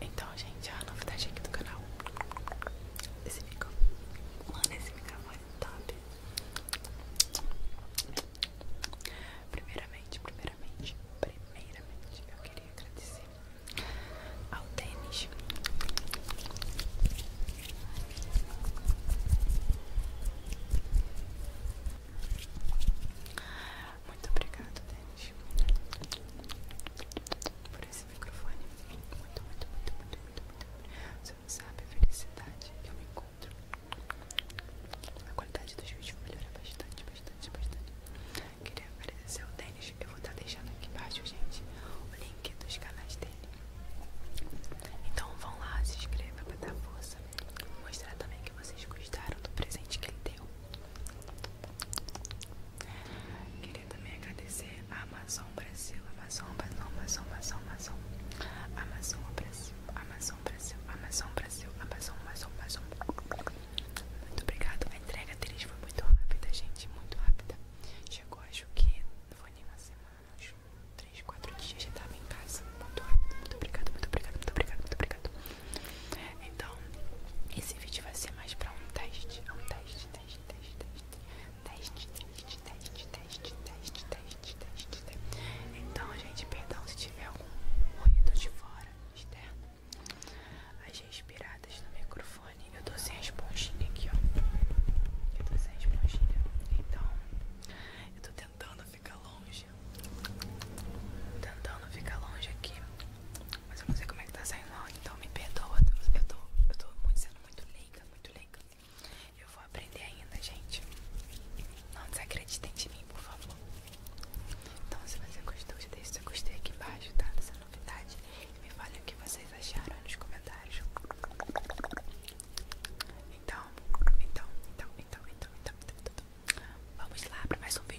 Então, gente, é a novidade aqui do canal. Esse microfone. Mano, esse microfone é top. Primeiramente, primeiramente, primeiramente, eu queria agradecer ao Denis. Muito obrigado, Denis, por esse microfone. Muito, muito, muito, muito, muito, muito. Você não sabe a felicidade que eu me encontro. A qualidade dos vídeos melhora bastante, bastante, bastante. Queria agradecer ao Denis. Eu vou estar tá deixando aqui embaixo, gente, o link dos canais dele. Então vão lá, se inscreva para dar força. Mostrar também que vocês gostaram do presente que ele deu. Queria também agradecer a Amazon Brasil, Amazon, Amazon, Amazon, Amazon, Amazon Brasil, Amazon Brasil, Amazon Brasil, Amazon, Amazon, Amazon. Muito obrigado, a entrega deles foi muito rápida, gente, muito rápida. Chegou, acho que não foi nem uma semana, acho 3, 4 dias já estava em casa. Muito rápido, muito obrigado, muito obrigado, muito obrigado, muito obrigado. Então, esse vídeo vai ser mais pra um teste. Um teste, teste, teste, teste. Teste, teste, teste, teste, teste, Então, gente, perdão se tiver algum ruído de fora, externo. As respiradas no microfone. Eu tô sem a esponjinha aqui, ó. Eu tô sem a esponjinha. Então, eu tô tentando ficar longe Tentando ficar longe aqui Mas eu não sei como é que tá saindo áudio Então me perdoa Eu tô, eu tô muito, sendo muito leiga Muito leiga Eu vou aprender ainda, gente Não desacreditem de mim, por favor Então se você gostou Deixa seu gostei aqui embaixo, tá? Dessa novidade e Me fale o que vocês acharam nos comentários então, então, então, então, então, então, então, então, então, então. Vamos lá para mais um vídeo.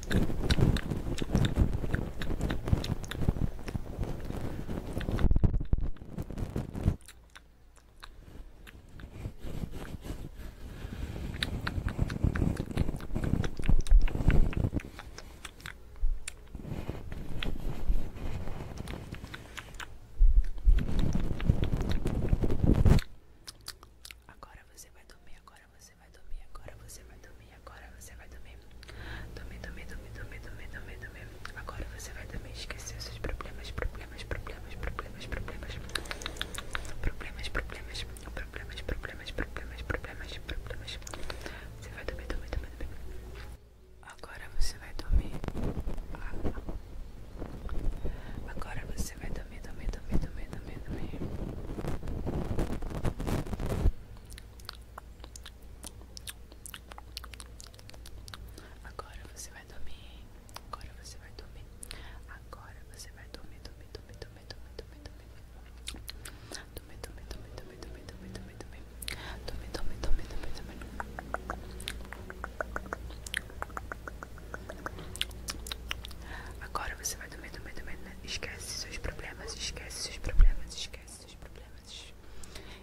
Agora você vai dormir, agora você você vai dormir agora, você vai dormir agora, você vai dormir. Dormir, dormir, dormir, dormir, dormir, dormir, Agora você vai dormir, esquecer seus problemas, problemas, problemas, problemas, problemas. Problemas, problemas, problemas, problemas, problemas, problemas, Você vai dormir, dormir, dormir, dormir. Agora você vai dormir. Agora você vai dormir, dormir, dormir, dormir, dormir, dormir. Agora você vai dormir. Agora você vai dormir. Agora você vai dormir, dormir, dormir, dormir, dormir, dormir, dormir. Dormir, dormir, dormir, dormir, dormir, dormir, dormir, Agora você vai medo, medo, medo, medo. Né? Esquece seus problemas, esquece seus problemas, esquece seus problemas.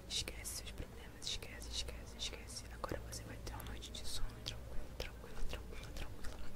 Esquece seus problemas, esquece, esquece, esquece. Agora você vai ter uma noite de sono tranquilo tranquilo tranquilo tranquilo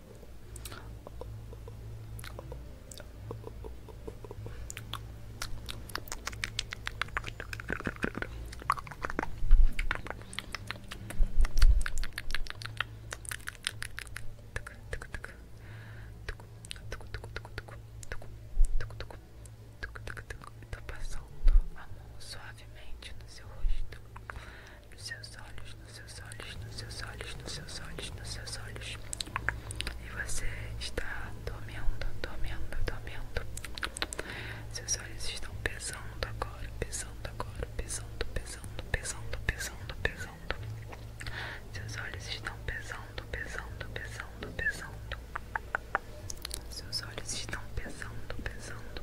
Tô passando a mão suavemente no seu rosto nos seus olhos, nos seus olhos, nos seus olhos, nos seus olhos, nos seus olhos. E você está dormindo, dormindo, dormindo. Seus olhos estão pesando agora, pesando agora, pesando, pesando, pesando, pesando, pesando. Seus olhos estão pesando, pesando, pesando, pesando. Seus olhos estão pesando, pesando,